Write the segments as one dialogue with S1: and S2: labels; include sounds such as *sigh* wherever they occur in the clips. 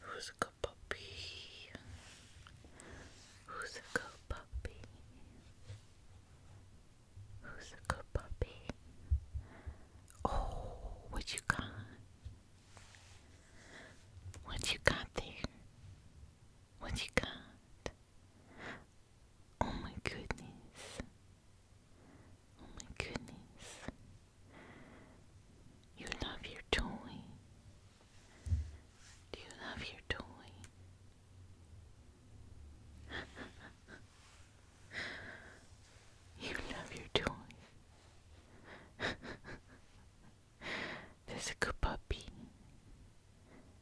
S1: Who's a good puppy? Who's a good puppy? Who's a good puppy? Oh, what you got? What you got there? What you got? Oh my goodness. Oh my goodness. You love your toy. Do you love your toy? *laughs* You love your toys. There's a good puppy.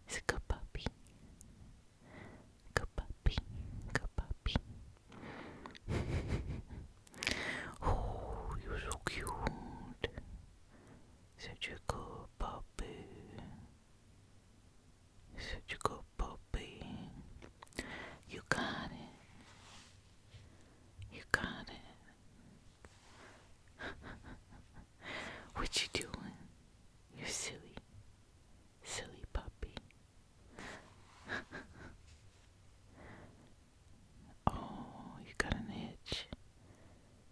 S1: It's a good puppy. Good puppy. Good puppy. *laughs* oh, you're so cute. Such a good puppy. Such a good puppy. You got it. You got it. *laughs* what you doing? You silly, silly puppy. *laughs* oh, you got an itch.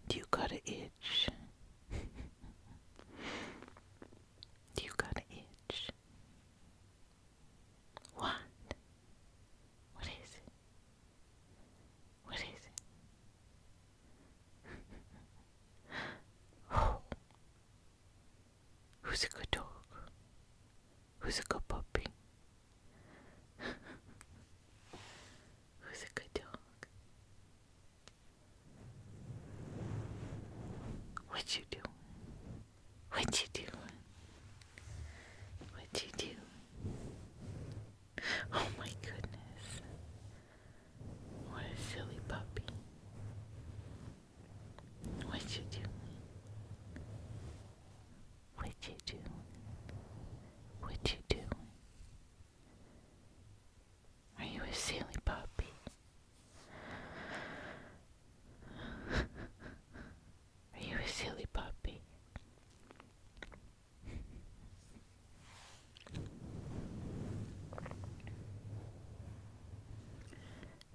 S1: Do you got an itch? *laughs* Do you got an itch? What? What is it? What is it? Who's a good dog? Who's a good puppy? Who's a good dog? What you do? What you do? What you do? Oh my goodness. What a silly puppy. What you do? What you doing? What you doing? Are you a silly puppy? *laughs* Are you a silly puppy?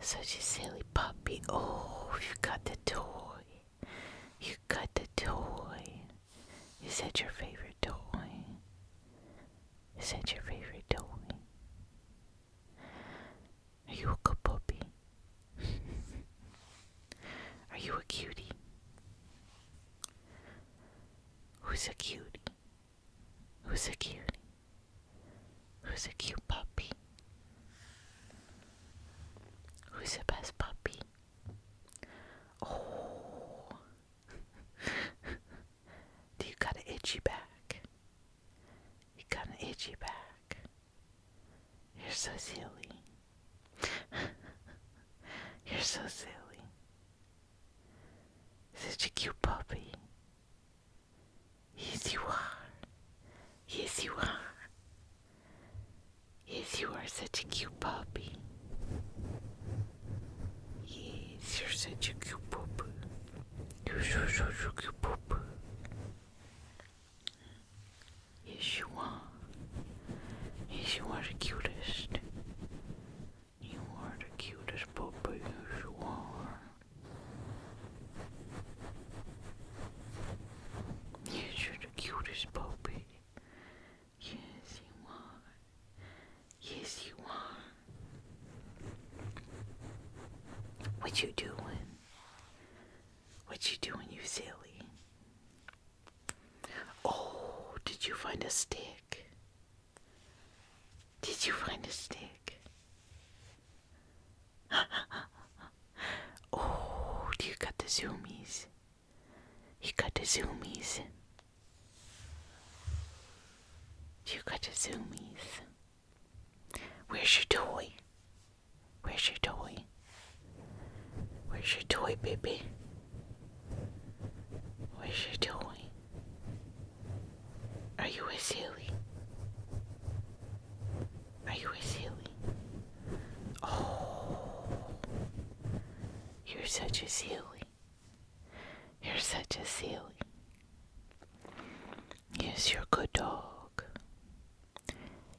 S1: Such a silly puppy. Oh, you got the toy. You got the toy. Is that your favorite toy? Is that your favorite toy? Are you a good puppy? *laughs* Are you a cutie? Who's a cutie? Who's a cutie? Who's a cute puppy? Who's the best puppy? Oh. *laughs* Do you got an itchy back? You got an itchy back. You're so silly. *laughs* You're so silly. Such a cute puppy. Yes, you are. Yes, you are. Yes, you are such a cute puppy. Yes, you're such a cute puppy. You're such a cute puppy. Yeshua. Yeshua's cutest. You are the cutest puppy, Yeshua. Yes, you're the cutest puppy. Yes, you are. Yes, you are. What you doing? What you doing, you silly? Oh, did you find a stick? Did you find a stick? *laughs* oh, you got the zoomies. You got the zoomies. You got the zoomies. Where's your toy? Where's your toy? Where's your toy, baby? Where's your toy? Are you a silly? Are you a silly? Oh, you're such a silly. You're such a silly. Yes, you're a good dog.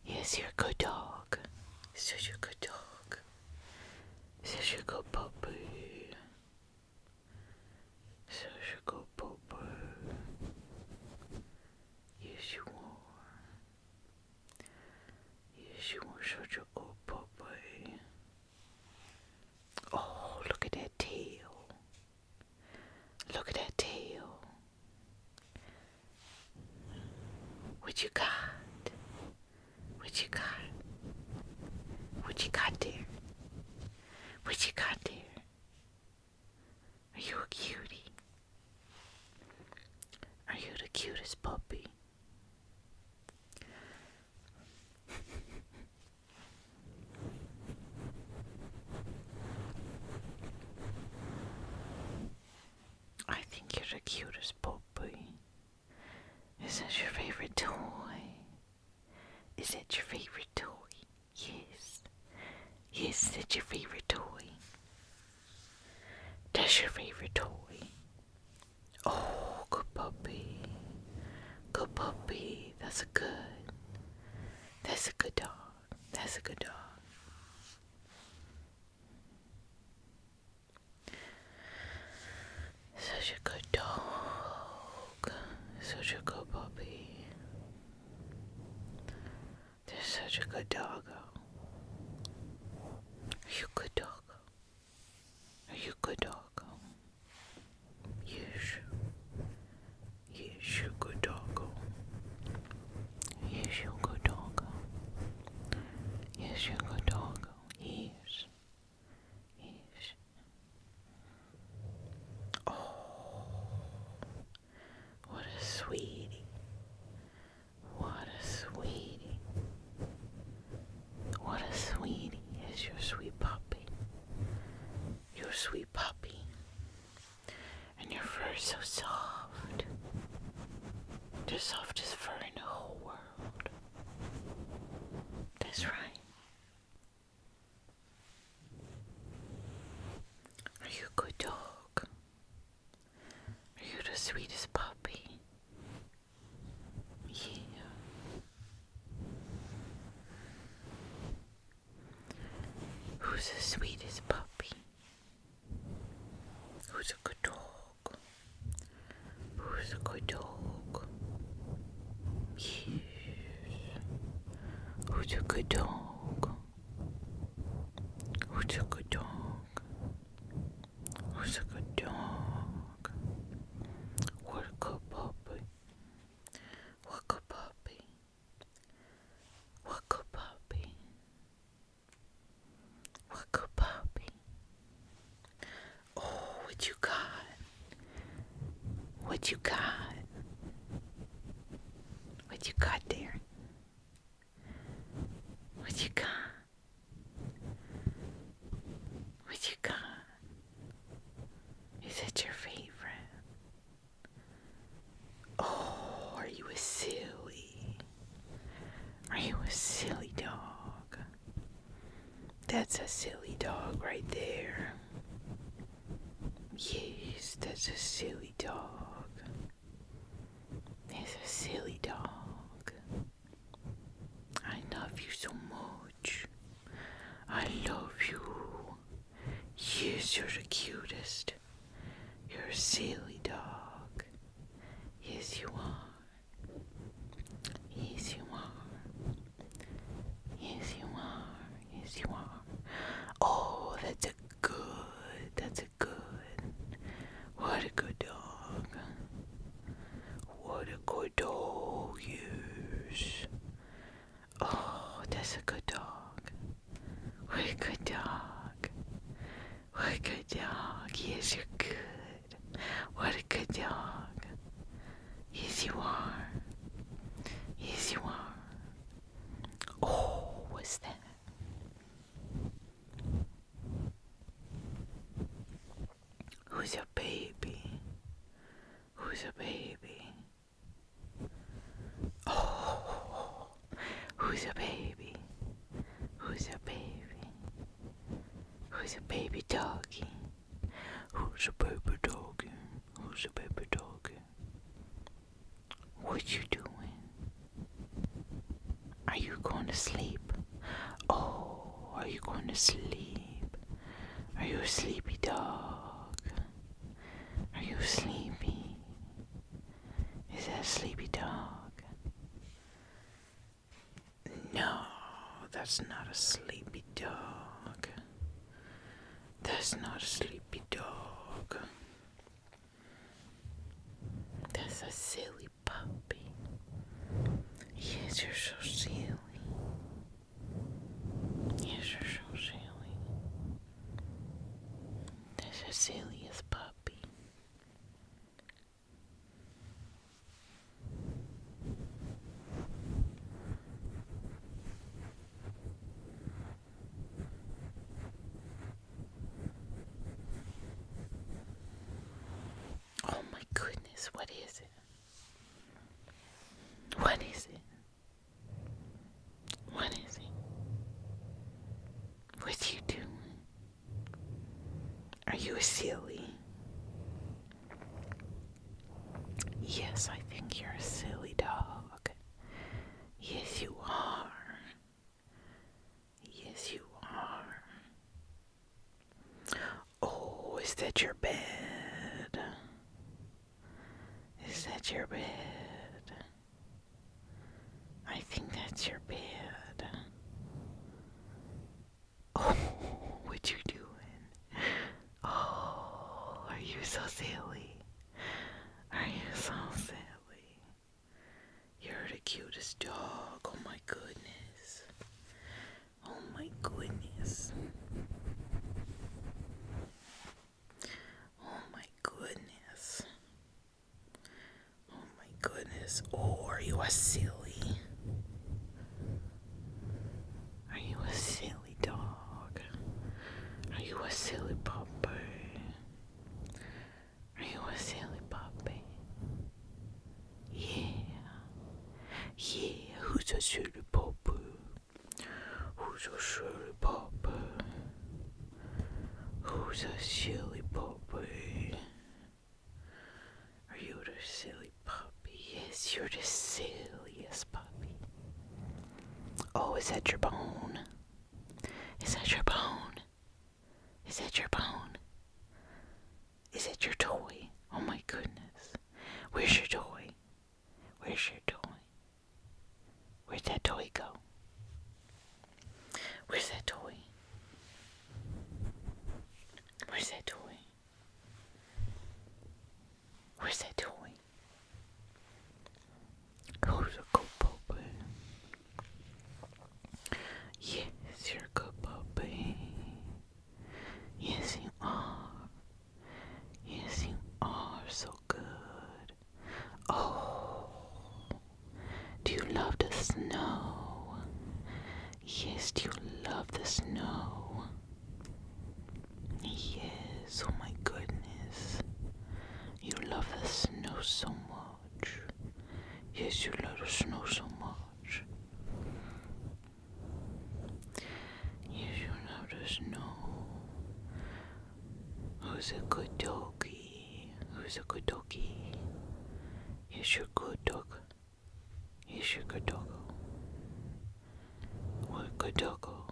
S1: Yes, you're a good dog. This is your good dog. This is your good puppy. This is your good puppy. Yes, you are. Yes, you are such a good puppy. Oh, look at that tail. Look at that tail. What you got? What you got? What you got there? What you got there? Are you a cutie? Are you the cutest puppy? I think you're the cutest puppy. Is that your favorite toy? Is that your favorite toy? Yes. Yes, that's your favorite toy. That's your favorite toy. Oh, good puppy. Good puppy. That's a good. That's a good dog. That's a good dog. Such a good dog. Such a good puppy. They're such a good doggo. Are you good doggo? you good doggo? Yes. Yes, you good doggo. He's your good doggo. He's your good doggo. He's. He's. Oh. What a sweetie. What a sweetie. What a sweetie is your sweet puppy. Your sweet puppy. And your fur is so soft. The softest fur in the whole world. That's right. Are you a good dog? Are you the sweetest puppy? Yeah. Who's the sweetest puppy? Who's a good dog? Who's a good dog? Yes. Who's a good dog? Who's a good dog? Who's a good dog? What a good puppy. What a good puppy. What a good puppy. What good puppy? Oh, what you got? What you got? What you got there? What you got? What you got? Is it your favorite? Oh, are you a silly? Are you a silly dog? That's a silly dog right there. Yes, that's a silly dog. That's a silly dog. I love you so much. I love you. Yes, you're the cutest. You're a silly dog. Yes, you are. Yes, you are. Yes, you are. Yes, you are. Oh, that's a good. That's a good. What a good dog. What a good dog. Yes. Oh, that's a good dog. What a good dog. What a good dog. Yes, you're good. What a good dog. Yes, you are. Yes, you are. Oh, was that? Who's a baby? Who's a baby? Oh, Who's a baby? Who's a baby? Who's a baby doggy? Who's a baby doggy? Who's a baby doggy? What you doing? Are you going to sleep? Oh, are you going to sleep? Are you sleepy dog? Are you sleepy? Is that a sleepy dog? No, that's not a sleepy dog. That's not a sleepy dog. That's a silly puppy. Yes, you're so silly. Yes, you're so silly. That's the silliest puppy. Oh my goodness, what is it? What is it? What is it? What you doing? Are you a silly? Yes, I think you're a silly dog. Yes, you are. Yes, you are. Oh, is that your bed? Is that your bed? I think that's your bed. *laughs* Oh, what you doing? Oh, are you so silly? Are you so silly? You're the cutest dog. Oh my goodness. Oh my goodness. Oh my goodness. Oh my goodness. Oh, are you a silly? Are you a silly dog? Are you a silly puppy? Are you a silly puppy? Yeah. Yeah, who's a silly puppy? Who's a silly puppy? Who's a silly puppy? Are you the silly puppy? Yes, you're the silliest puppy. Oh, is that your bone? Is that your bone? Is that your bone? Is it your toy? Oh my goodness. Where's your toy? Where's your toy? Where'd that toy go? Where's that toy? Where's that toy? Where's that toy? Who's a good puppy? Yes, you're a good puppy. Yes, you are. Yes, you are so good. Oh, do you love the snow? Yes, do you love the snow? Yes, oh my goodness. You love the snow so much. Yes, you love the snow so much. Yes, you love the snow. Who's a good doggy? Who's a good doggy? Here's your good dog. Here's your good dog. What a good doggo.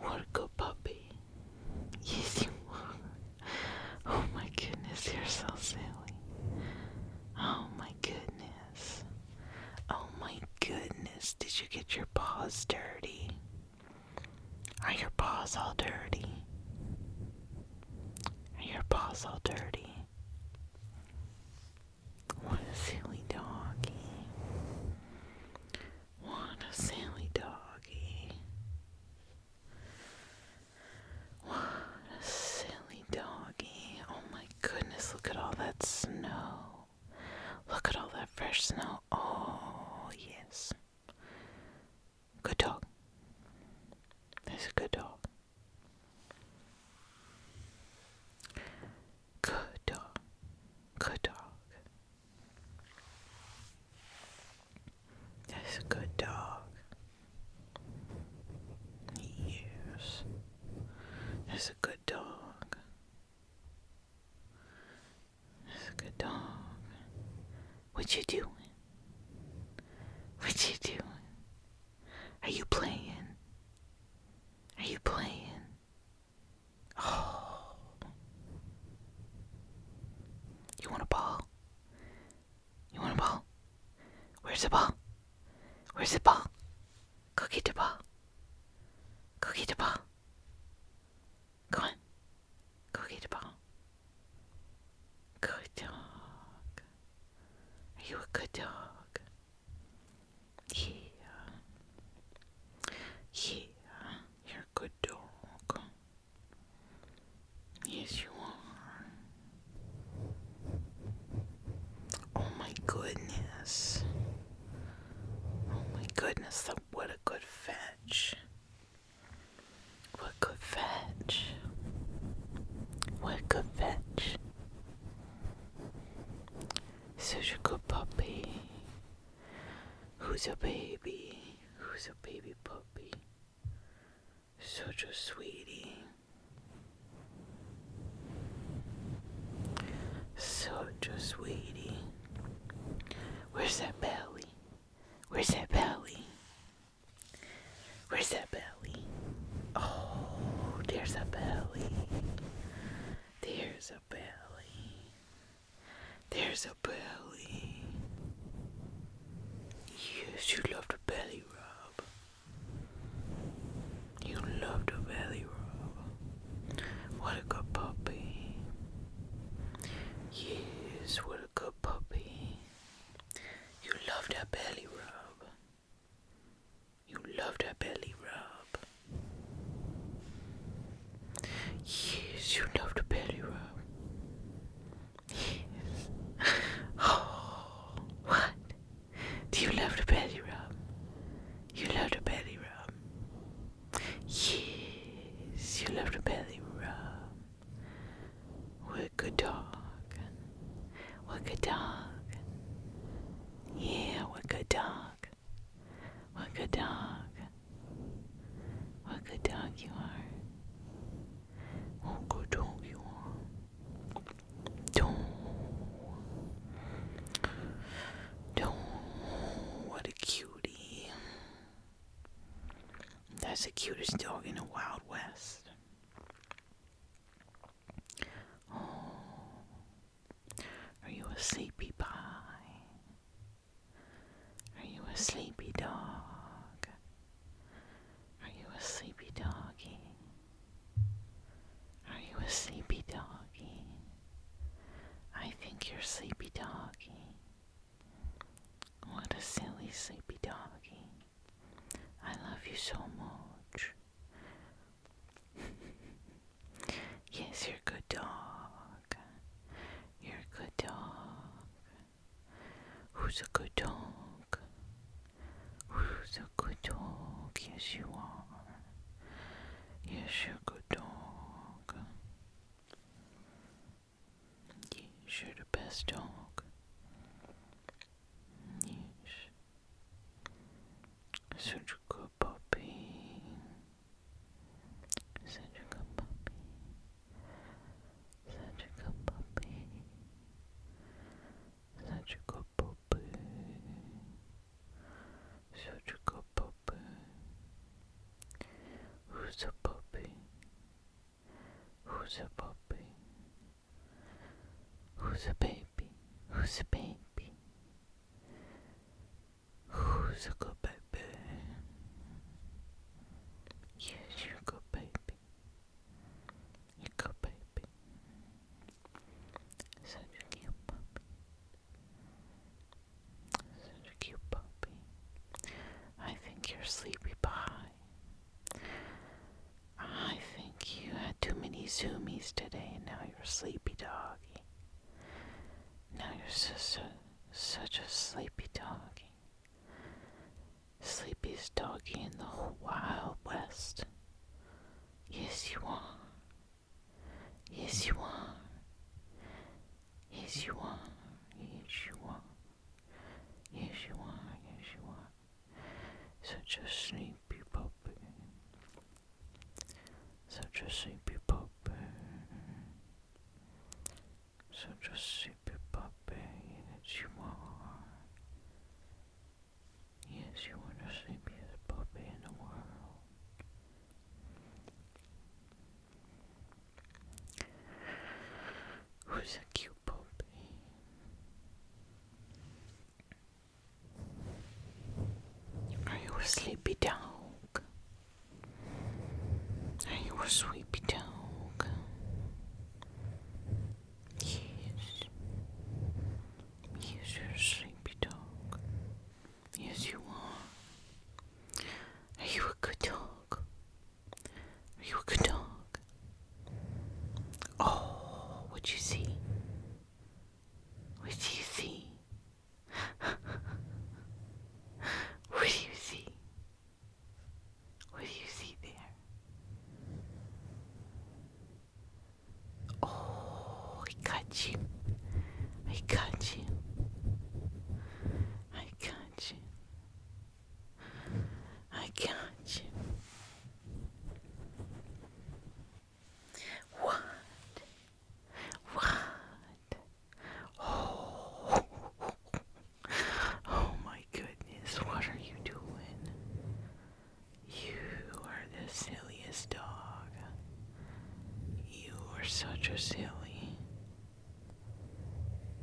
S1: What a good puppy. Yes, you are. Oh my goodness, you're so silly. Oh my goodness. Oh my goodness, did you get your paws dirty? Are your paws all dirty? Are your paws all dirty? What a silly doggy. What a silly doggy. What a silly doggy. Oh my goodness, look at all that snow. Look at all that fresh snow. Oh, yes. Good dog. That's a good dog. Good dog. Good dog. That's a good dog. Yes. That's a good dog. That's a good dog. What you doing? What you doing? Are you playing? Are you playing? Oh. You want a ball? You want a ball? Where's the ball? Where's the ball? Cookie get the ball. Cookie get the ball. Go on. Cookie get the ball. Good dog. Are you a good dog? Yeah. Yeah, you're a good dog. Yes, you are. Oh my goodness. Oh my goodness, that what a good fetch. What could fetch? What could fetch? Such a good puppy. Who's a baby? Who's a baby puppy? Such a sweetie. Such a sweetie. Where's that belly? Where's that belly? Where's that belly? Oh, there's a belly. There's a belly. There's a belly. Yes, you love the belly rub. You love the belly rub. What a good puppy. Yes, what a good puppy. You loved her belly rub. You loved her belly rub. Yes, you loved her belly rub. Yes. *laughs* Oh, what? Do you love the belly rub? You love the belly rub. Yes, you love the belly rub. Work a dog. Work a dog. Yeah, work a dog. What good dog. What good dog you are. What good dog you are. Don't. Don't. What a cutie. That's the cutest dog in the Wild West. Oh. are you a sleepy pie? Are you a sleepy dog? Are you a sleepy doggy? Are you a sleepy doggy? I think you're sleepy doggy. What a silly sleepy doggy. I love you so much. *laughs* yes, you're a good dog. You're a good dog. Who's a good dog? Who's a good dog? Yes, you are. Yes, you're a good dog. Niż bez ciąg. Niż. Suczko popi. Suczko popi. Suczko popi. Suczko popi. Suczko popi. Who's a puppy? Who's a puppy? Who's a baby? Who's a baby? Who's a good baby? Yes, you're a good baby. You're a good baby. Such a cute puppy. Such a cute puppy. I think you're sleepy pie. I think you had too many zoomies today, and now you're sleepy doggy. Now you're such a, such a sleepy doggy. Sleepiest doggy in the Wild West. Yes, you are. Yes, you are. Yes, you are. Yes, you are. Yes, you are. Yes, you are. Such a sleepy puppy. Such a sleepy puppy. Such a sleepy puppy that you are. Yes, you are the sleepiest puppy in the world. Who's a cute are you a sleepy dog? Are you a sleepy dog? Yes. Yes, you're a sleepy dog. Yes, you are. Are you a good dog? Are you a good dog? Oh, what you see? What do you see? *laughs* what do you see? What do you see there? Oh, I got you. I got you. I got you. I got you. What? What? Oh. oh my goodness, what are you doing? You are the silliest dog. You are such a silly.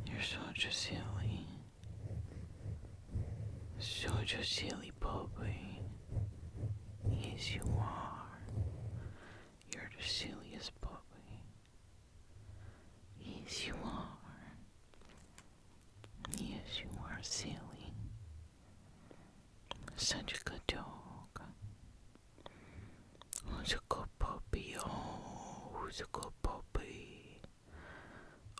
S1: You're such a silly. Such a silly puppy. Yes, you are. You're the silliest puppy. Yes, you are. Yes, you are silly. Such a good dog. Who's a good puppy? Oh, who's a good puppy?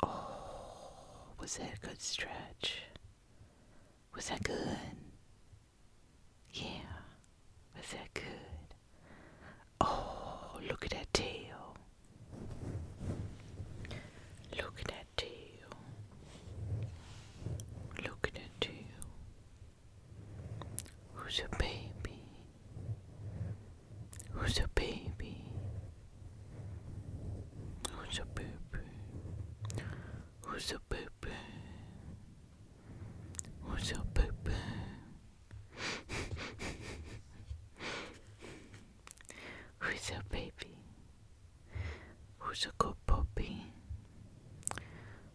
S1: Oh, was that a good stretch? Was that good? Yeah, was that good? Oh, look at that tail. Look at that tail. Look at that tail. Who's a baby? Who's a baby? Who's a baby? Who's a baby? Who's a baby? Who's your baby? Who's your *laughs* good puppy?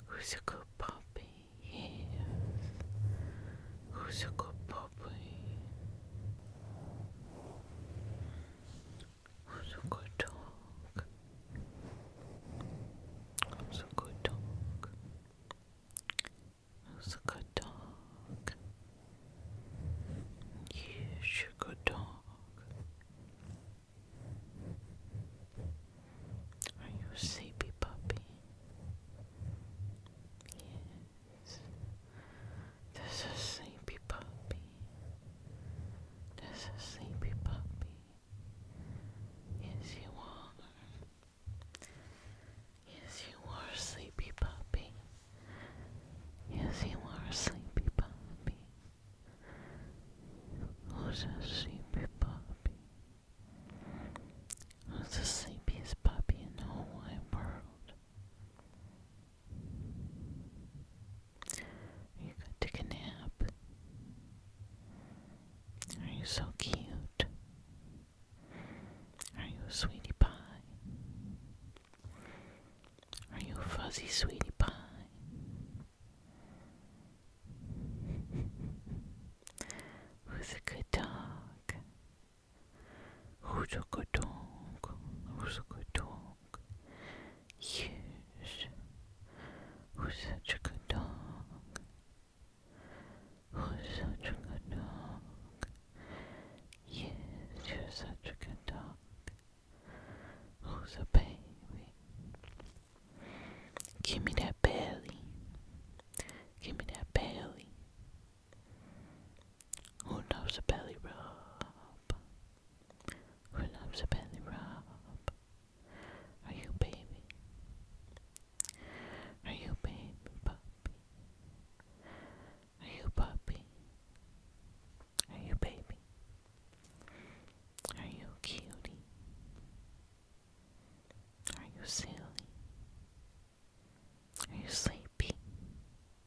S1: Who's a good puppy? Who's your good puppy? Who's a good dog? Who's a good dog? Who's a good dog? you're a good dog. Are you sleepy puppy? Yes. This is sleepy puppy. This is sleepy puppy. Yes, you are. Yes, you are sleepy puppy. Yes, you are sleepy puppy. Who's a sleepy puppy? Who's the sleepiest puppy in the whole wide world? you going to take a nap? Are you so cute? Are you sweetie pie? Are you fuzzy sweetie pie? Who's a good dog? Who's Huzukodonk, Huzukodonk, yes, who's such a good dog? Who's such a good dog? Yes, you're such a good dog. Who's a baby? Give me that belly. Give me that belly. Who loves a belly rub? Who loves a belly rub? Are you baby? Are you baby puppy? Are you puppy? Are you baby? Are you cutie? Are you silly? Are you sleepy?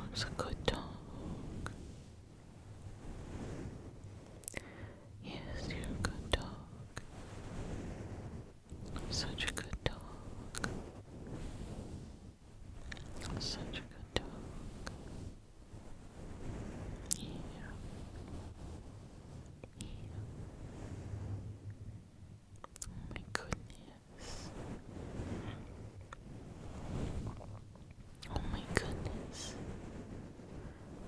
S1: Looks a good dog. Yes, you good dog. Such a good dog. Such a good dog. Yeah. Oh my goodness. Oh my goodness.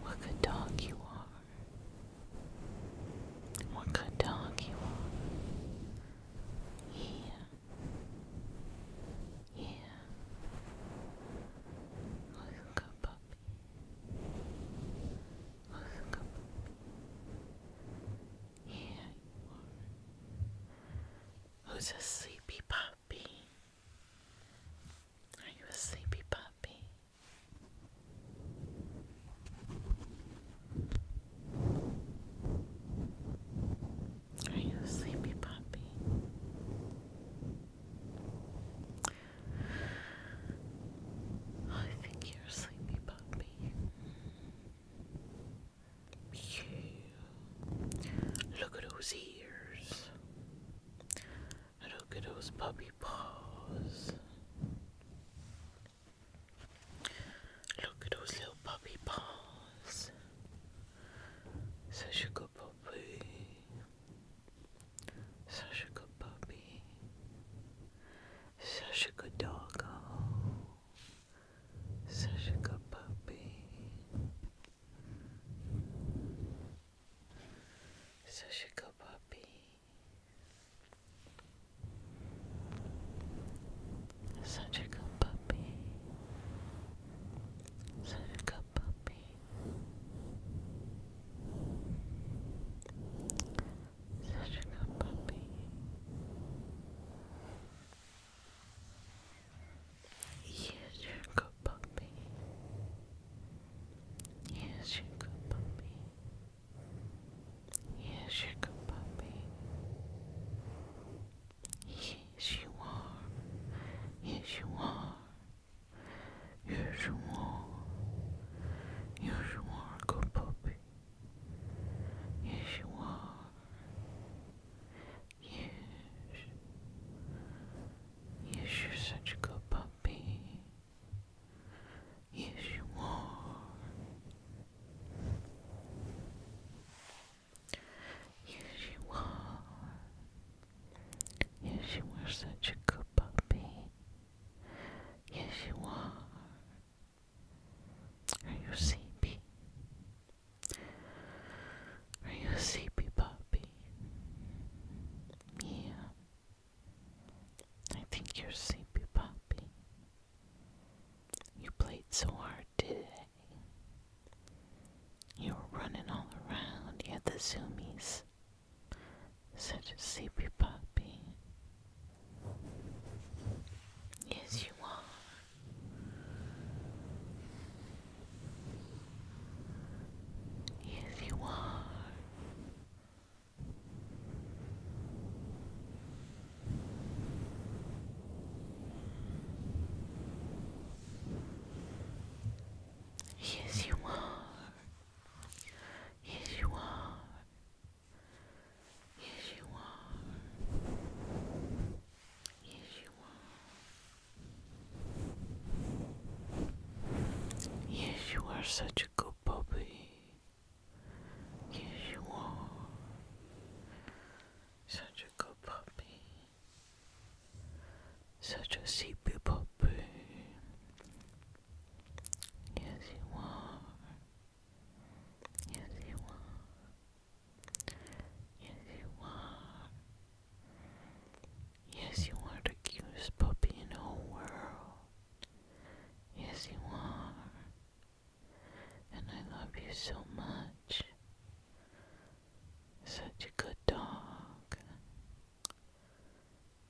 S1: What good dog you are. What good dog you are. Yeah. Yeah. Listen go puppy. Listen go puppy. Yeah, Who's a sleepy puppy? Are you a sleepy puppy? Are you sleepy, puppy? I think you're sleepy, puppy. Yeah. Look at those ears. Look at those puppy paws. Look at those little puppy paws. Such a good puppy. Such a good puppy. Such a good dog. Such a good puppy. Such a good puppy. Such a good puppy. Such a good puppy. Such a good puppy. Yes, you're a good puppy. Yes, you're a good puppy. Yes, you're a good puppy. Yes, you are. Yes, you are. Yes, you are. Yes, you are a good puppy. Yes, you are. Yes. Yes, you're such a good puppy. Yes, you are. Yes, you are. Yes, you are such a good puppy. Yes, you are. Are you sleepy? Are you sleepy, puppy? Yeah. I think you're sleepy, puppy. You played so hard did today. You are running all around, you had the zoomies. Such a sleepy puppy. Yes, you are. Yes, you are. Yes, you are. Yes, you are. Yes, you are. Yes, you are. Yes, you are such a good puppy. Yes, you are. Such a good puppy. Such a sleepy puppy. Yes, you are. Yes, you are. Yes, you are. Yes, you are the cutest puppy in the whole world. Yes, you are and I love you so much. Such a good dog.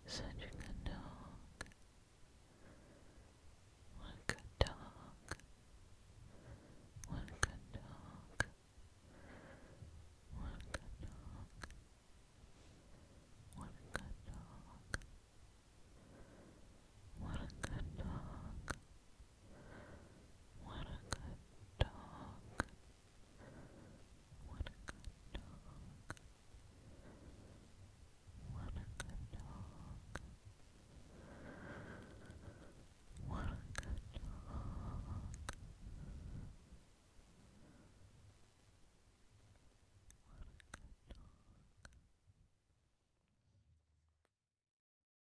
S1: Such a good dog. What a good dog. What a good dog. What a good dog. What a good dog. What a good dog. What a good dog. What a good dog. What a good dog. What a good dog. What a good dog.